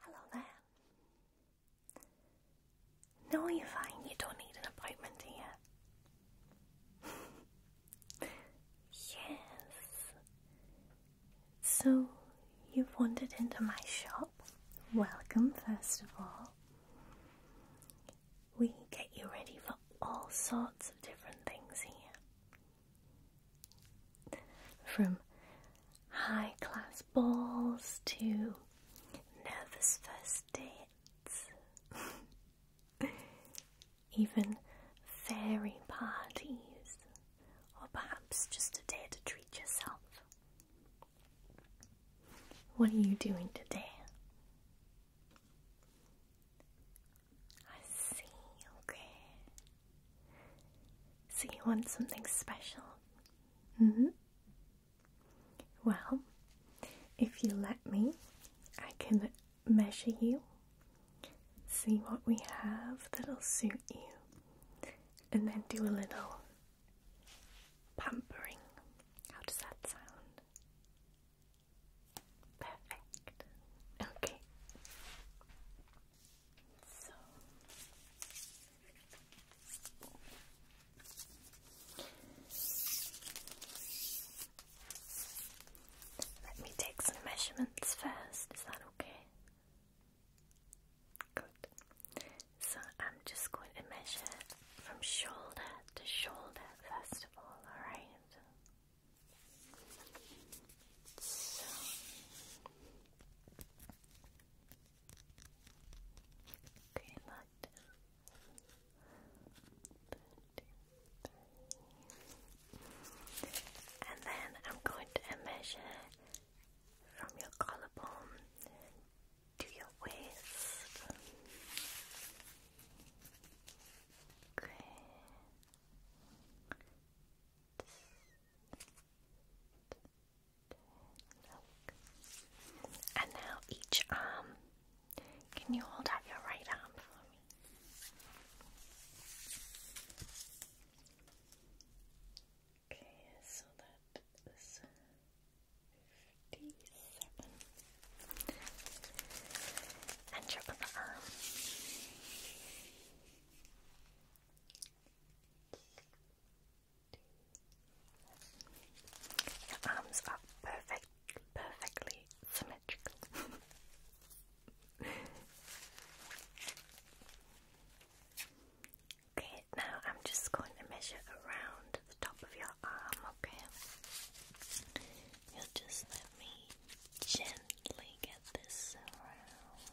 Hello there. No, you're fine. You don't need an appointment here. yes. So, you've wandered into my shop. Welcome, first of all. We can get you ready for all sorts of different things here. From high class balls to nervous first dates, even fairy parties, or perhaps just a day to treat yourself. What are you doing today? I see, okay. So you want something special? hmm. Well, if you let me, I can measure you, see what we have that'll suit you, and then do a little pampering. How does that sound? Perfect. Okay. So let me take some measurements first, is that okay? Good. So I'm just going to measure from shoulder to shoulder first of all, alright? So okay, that and then I'm going to measure from your collarbone to your waist. And now each arm. Can you hold out your right arm for me? Okay, so that is fifty-seven and your other Your arms are perfect, perfectly symmetrical. okay, now I'm just going to measure around the top of your arm, okay? You'll just let me gently get this around.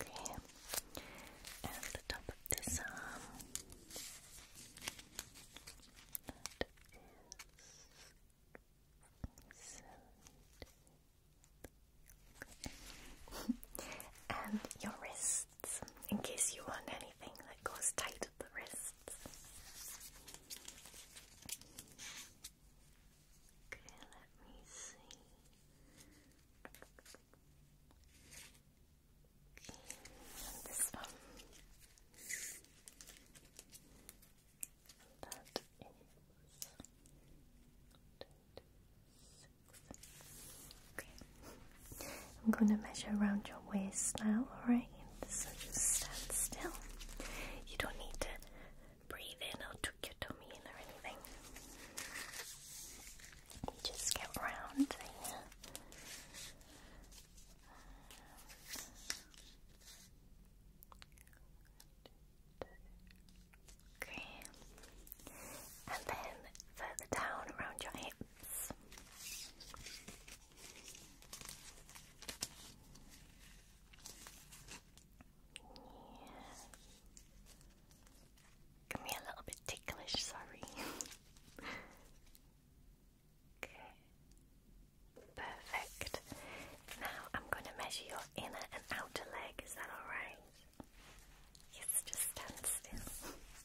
Okay, and the top of this arm. and your wrist in case you want anything that goes tight at the wrists. Okay, let me see. Okay, this one. And that is. Six. Okay, I'm going to measure around your waist now, alright? So just stand still. You don't need to breathe in or tuck your tummy in or anything. Just get round Okay. And then further down around your hip can be a little bit ticklish, sorry. okay. Perfect. Now I'm going to measure your inner and outer leg. Is that alright? Yes, just stand still.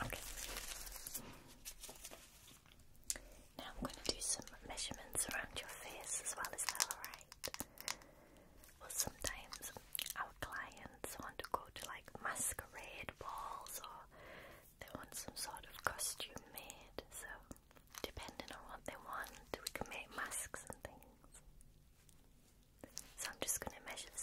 Okay. Now I'm going to do some measurements around your face as well, is that alright? Well, sometimes our clients want to go to like masquerade balls or they want some sort of costume made, so depending on what they want, we can make masks and things. So I'm just going to measure the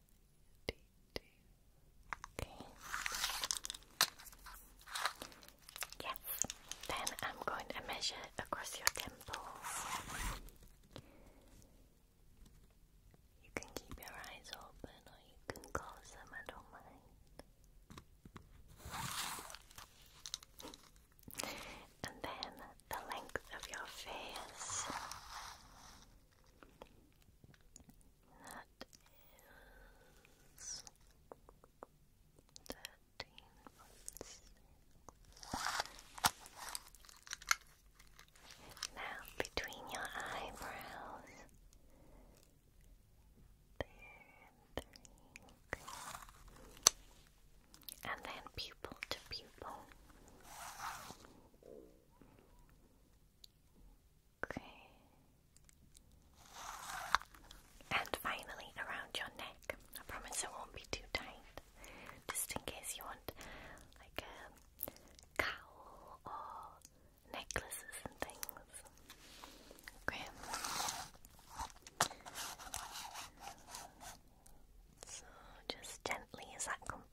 Okay. Yes. Then I'm going to measure across your temple. You can keep your eyes open or you can close them, I don't mind. And then the length of your face that is Now between your eyebrows. you And then pupil to pupil. Okay. And finally around your neck. I promise it won't be too tight. Just in case you want like a um, cowl or necklaces and things. Okay. So just gently, is that comfortable?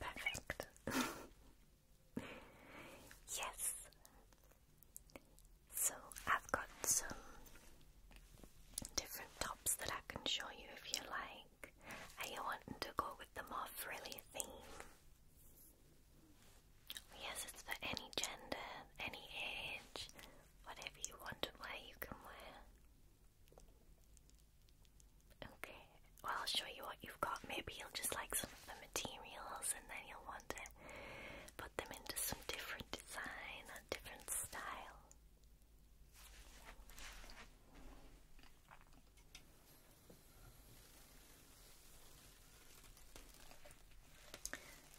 Perfect. yes. So I've got some different tops that I can show you if you like. Are you wanting to go with the more frilly theme? Yes, it's for any gender, any age, whatever you want to wear, you can wear. Okay, well, I'll show you what you've got. Maybe you'll just like some of the materials and then you'll want to put them into some different design or different style.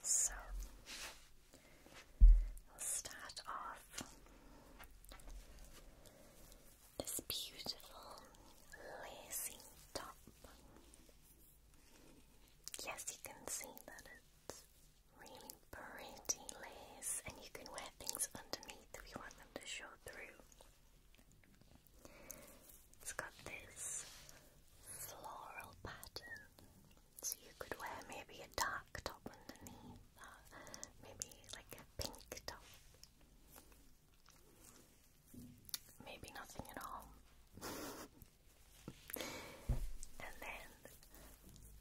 So we'll start off this beautiful lacy top. Yes, you can see that it's really pretty lace, and you can wear things underneath if you want them to show through. It's got this floral pattern, so you could wear maybe a dark top underneath, maybe like a pink top. Maybe nothing at all. and then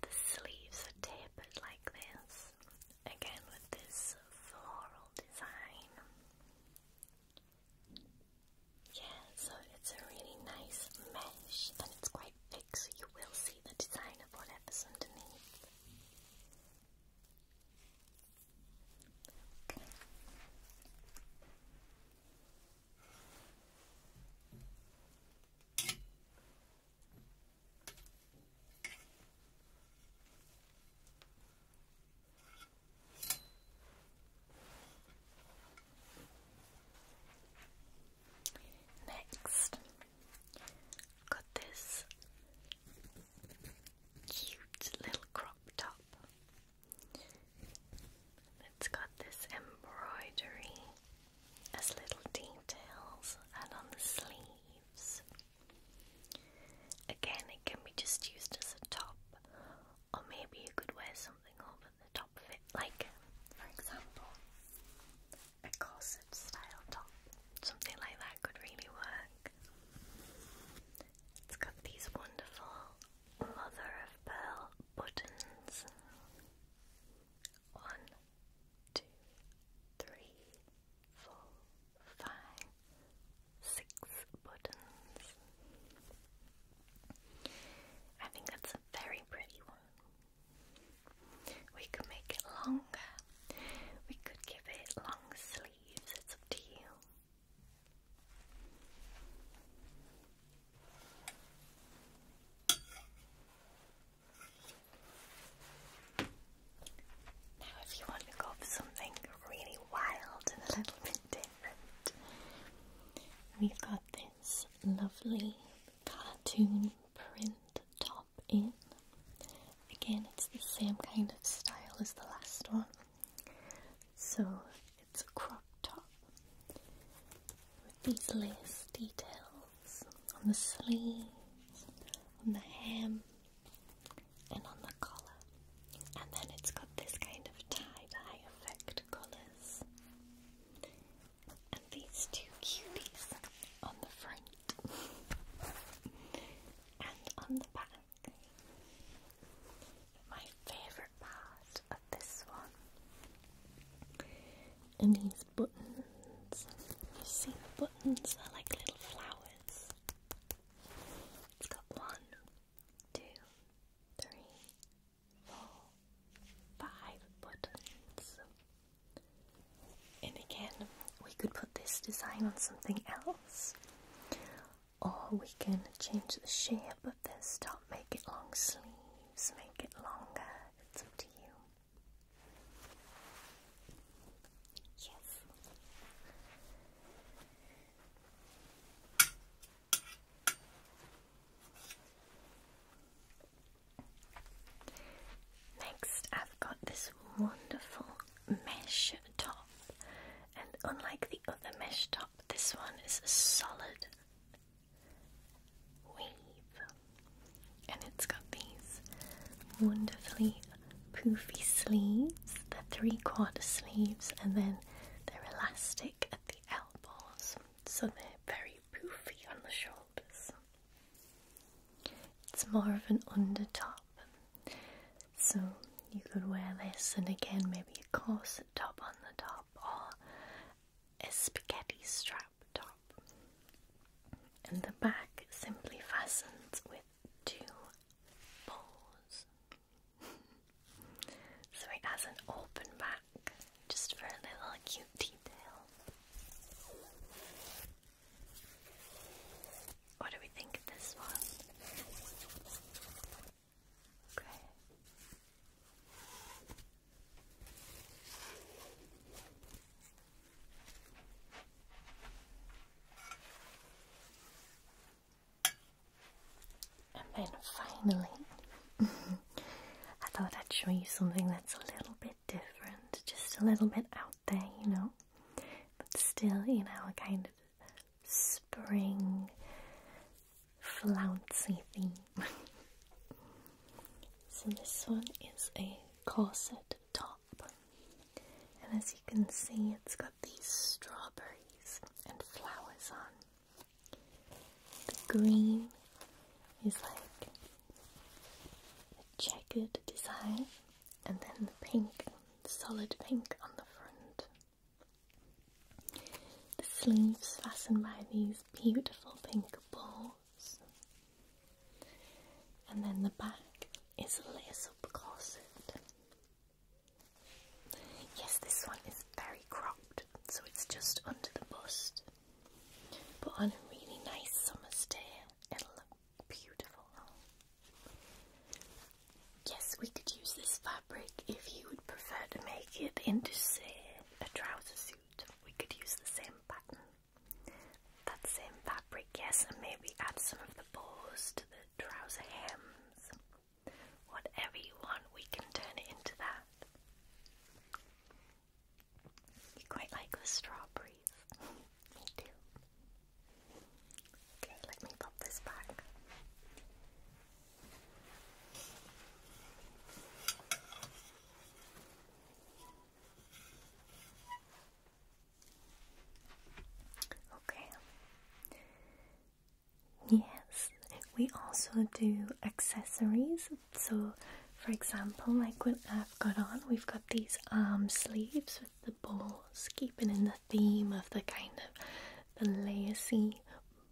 the sleeves are tapered like this, again with this floral design. Yeah, so it's a really nice mesh and it's quite big, so you will see the design of whatever's underneath. Okay. Next, got this cute little crop top. It's got this embroidery as little details, and on the sleeves Again, it can be just used as a top, or maybe you could wear something over the top of it, like, for example, a corset style top. Something like that could really work. It's got these wonderful mother of pearl buttons. One, two, three, four, five, six buttons. I think that's a very pretty one. We could make it longer. We could give it long sleeves. It's up to you. Now, if you want to go for something really wild and a little bit different, we've got this lovely cartoon print top in. Again, it's the same kind of style as the last one. So, it's a crop top with these lace details on the sleeves, on the hem, and on the collar. And then it's got this kind of tie-dye effect colours. And these two cuties on the front and on the back. My favourite part of this one and these buttons. You see the buttons are like little flowers. It's got one, two, three, four, five buttons. And again, we could put this design on something else, or we can change the shape of this top, make it long sleeves, make it longer. It's up to you. Yes. Next, I've got this wonderful mesh top, and unlike the other mesh top, this one is a solid weave, and it's got these wonderfully poofy sleeves, they're three quarter sleeves, and then they're elastic at the elbows, so they're very poofy on the shoulders. It's more of an under top, so you could wear this, and again, maybe a corset top on the top or a spaghetti strap top. And the back simply fastens with two balls so it has an open back just for a little cute detail. What do we think of this one? Okay. And then finally, I thought I'd show you something that's a little bit different, just a little bit out there, you know, but still in our kind of spring flouncy thing. so this one is a corset top, and as you can see, it's got these strawberries and flowers on. The green is like a checkered design, and then the pink, solid pink on the front. The sleeves fastened by these beautiful pink balls. And then the back is a lace up corset Yes, this one is very cropped, so it's just under the bust. But on a really nice summer day, it'll look beautiful. Yes, we could use this fabric if you would prefer to make it into, say, a trouser suit. We could use the same pattern, that same fabric, yes, and maybe add some of the bows to the trouser hems. Whatever you want, we can turn it into that. You quite like the strawberries. me too. Okay, let me pop this back. Okay. Yes, we also do accessories. So, for example, like what I've got on, we've got these arm sleeves with the balls, keeping in the theme of the kind of the lacy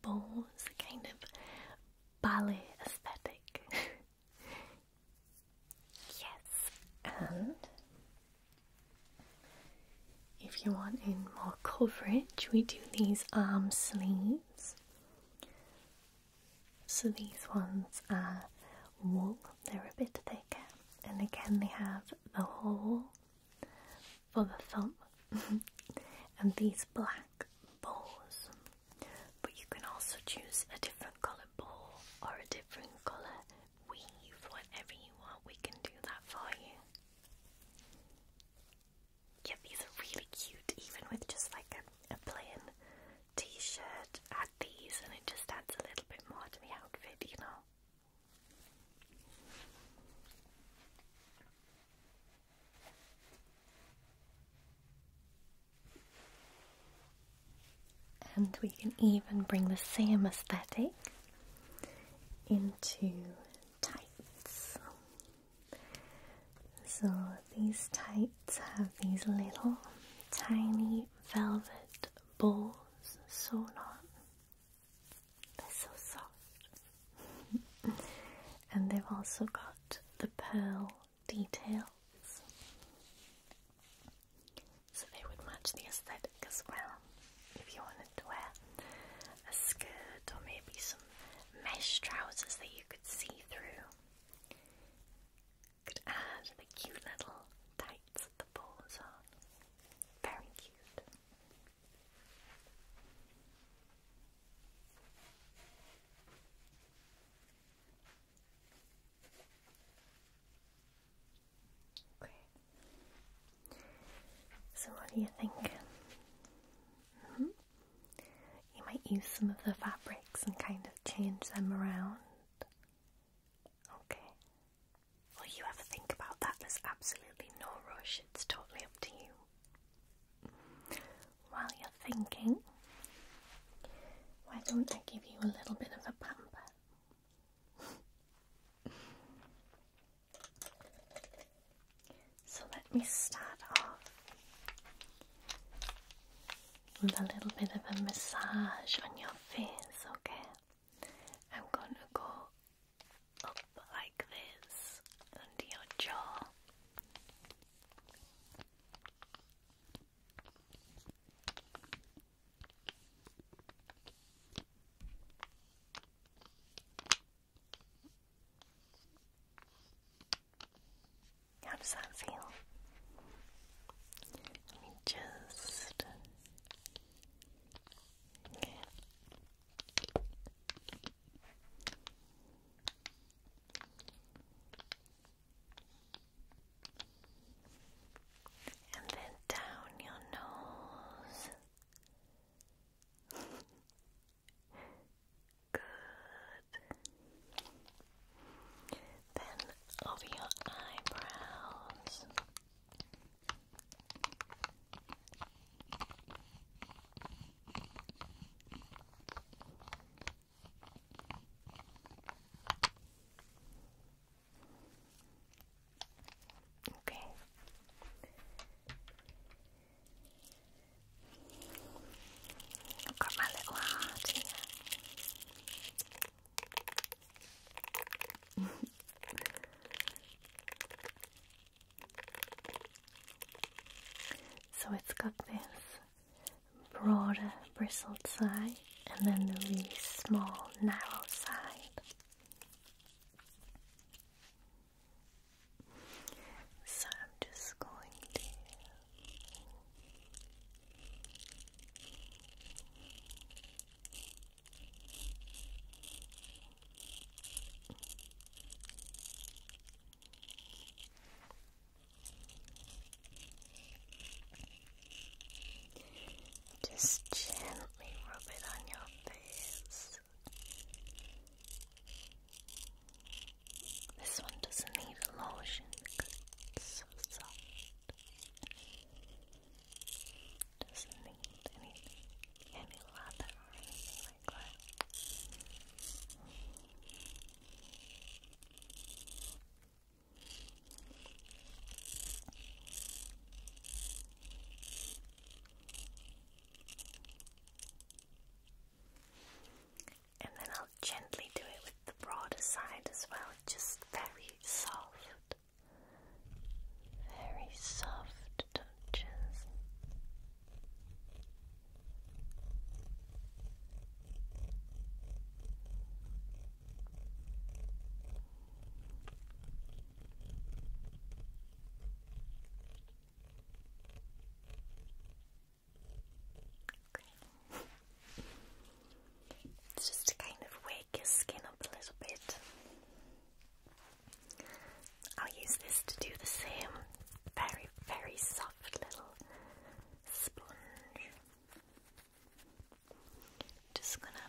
balls, the kind of ballet aesthetic. yes, and if you want in more coverage, we do these arm sleeves. So these ones are wool, they're a bit thicker, and again they have the hole for the thumb, and these black balls. But you can also choose a different colour ball or a different colour weave, whatever you want, we can do that for you. Yeah, these are really cute, even with just like a, plain t-shirt. Add these and it just adds a little bit more to the outfit, you know? And we can even bring the same aesthetic into tights. So these tights have these little tiny velvet balls sewn on. They're so soft. and they've also got the pearl details. So they would match the aesthetic as well if you wanted wanted to wear a skirt or maybe some mesh trousers that you could see through. Could add the cute little tights that the balls on. Very cute. So, what do you think? Mm-hmm. You might use some of the fabrics and kind of change them around. Okay. Well, you have to think about that. There's absolutely no rush, it's totally up to you. While you're thinking, why don't I give you a little bit of a pamper? so let me start off with a little bit of a massage on your face, okay? I'm going to go up like this under your jaw. How does that feel? just okay. And then down your nose Good. Then over your eyebrows. Okay. I've so it's got this broader bristled side and then the really small narrow side. So I'm just going to just gently rub it on your face. This one doesn't need lotion because it's so soft. Doesn't need anything, any lather or and then I'll gently do it with the broader side as well, just very soft, very soft touches just to kind of wake your skin up a little bit. I'll use this to do the same very, very soft little sponge. Just gonna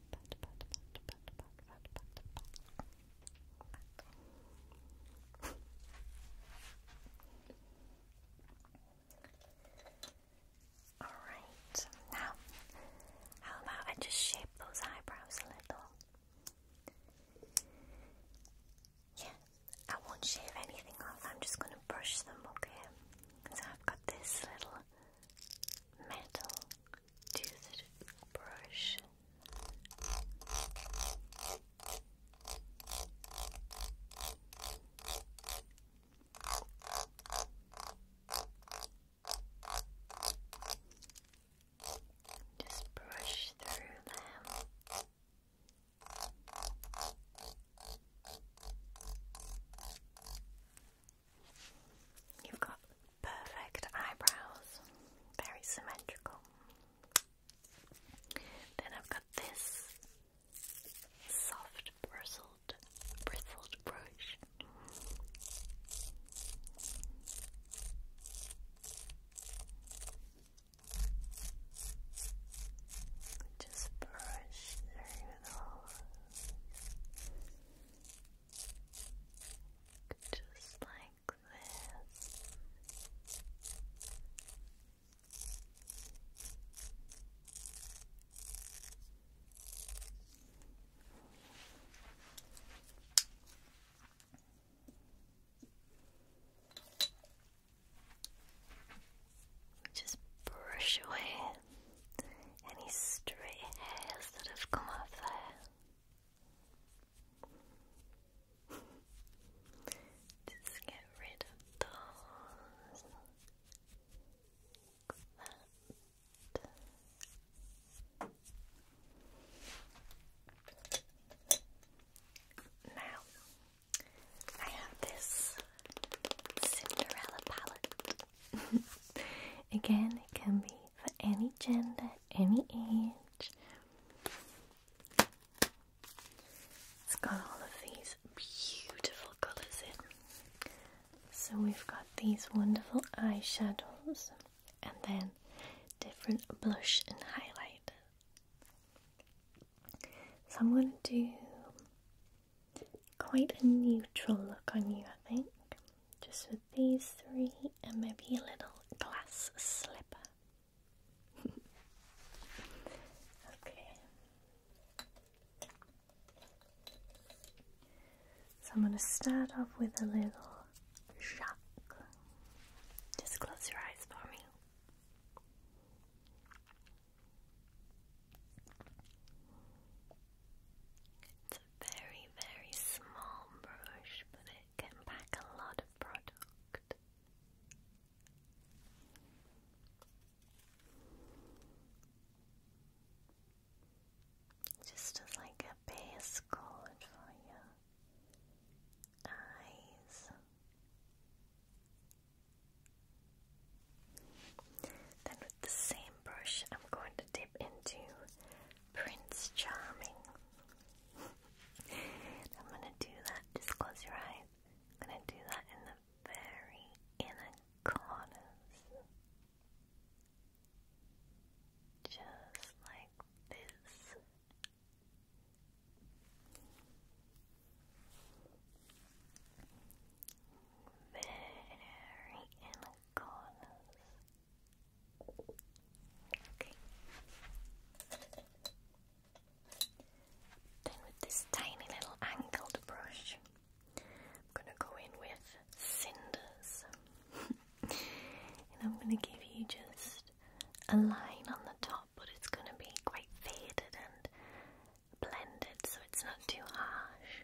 Alright, now, how about I just shape those eyebrows a little? Yeah, I won't shave anything off, I'm just gonna brush them, okay? Because I've got this little metal toothed Just brush through them. You've got perfect eyebrows, very symmetrical. Then I've got this soft bristled, brush. Just brush through those just like this. Just brush away any stray hairs that have come up there. Just get rid of those. Now, I have this Cinderella palette Again, it can be for any gender, any age. It's got all of these beautiful colours in. So we've got these wonderful eyeshadows and then different blush and highlight. So I'm going to do quite a neutral look on you, I think. Just with these three and maybe a little glass slipper. okay. So I'm going to start off with a little shock. Just close your eyes for me very, very small brush, but it can pack a lot of product. Just as like a base coat for your eyes. Then with the same brush, I'm going to dip into Prince Charming. I'm going to do that, just close your eyes. I'm going to do that in the very inner corners. Just like this. Very inner corners. with this tiny little angled brush, I'm gonna go in with cinders. and I'm gonna give you just a line on the top, but it's gonna be quite faded and blended so it's not too harsh.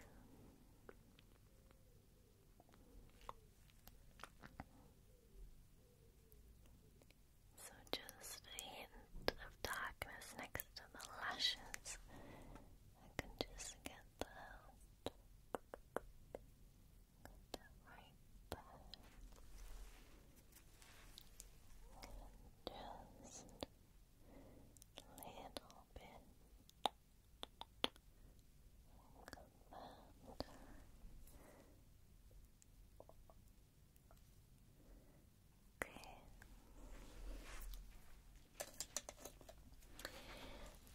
So just a hint of darkness next to the lashes. I can just get that. right just little bit.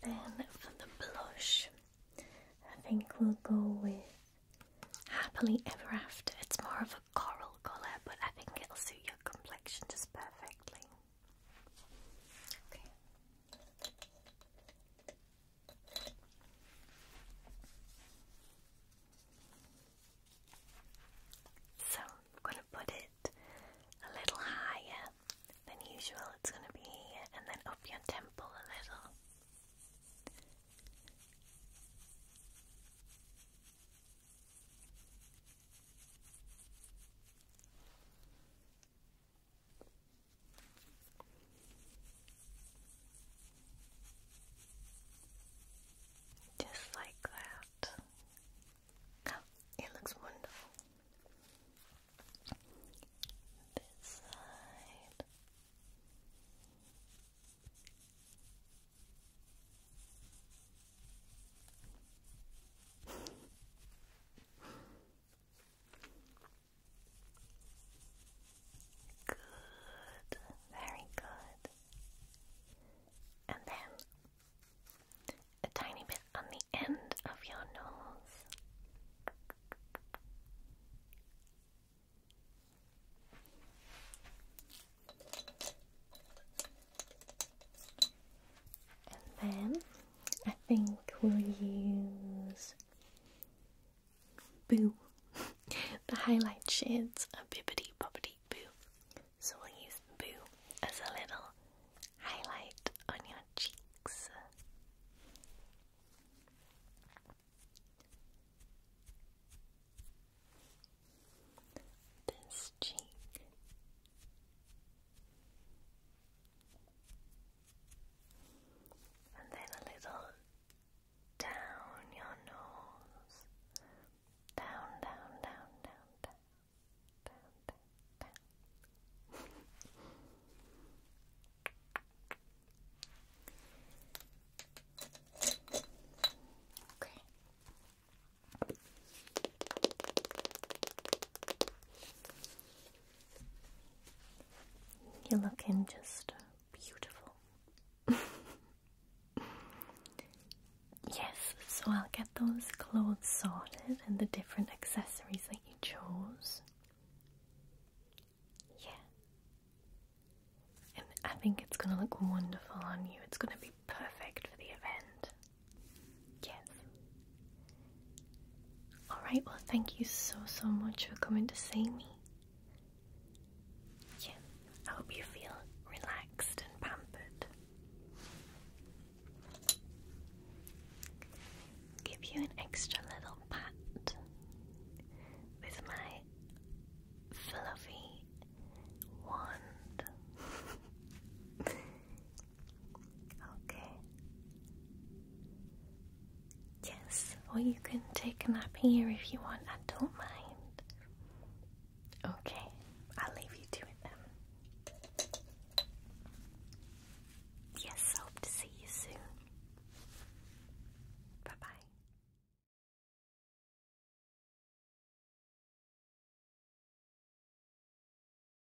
Then for the blush, I think we'll go with Happily Ever After. It's more of a coral colour, but I think it'll suit your complexion just perfectly. Okay. So I'm going to put it a little higher than usual. It's going to be and then up your temple a little. Just like that. it looks wonderful. This side. Good, very good. And then a tiny bit on the end of your nose. And then I think we'll use Boo, the highlight shades of Bibbidi Bobbidi Boo. So we'll use Boo as a little highlight on your cheeks. This cheek and then a little down your nose, down, down, down, down, down, down, down, okay. You're looking just beautiful. yes, so I'll get those clothes sorted and the different accessories that you chose. Yeah. And I think it's going to look wonderful on you. It's going to be perfect for the event. Yes. Alright, well, thank you so, so much for coming to see me. Yeah, I hope you feel relaxed and pampered. Give you an extra little pat with my fluffy wand. Okay. Yes, or you can take a nap here if you want. I don't mind. Okay, I'll leave you to it then. Yes, hope to see you soon. Bye bye.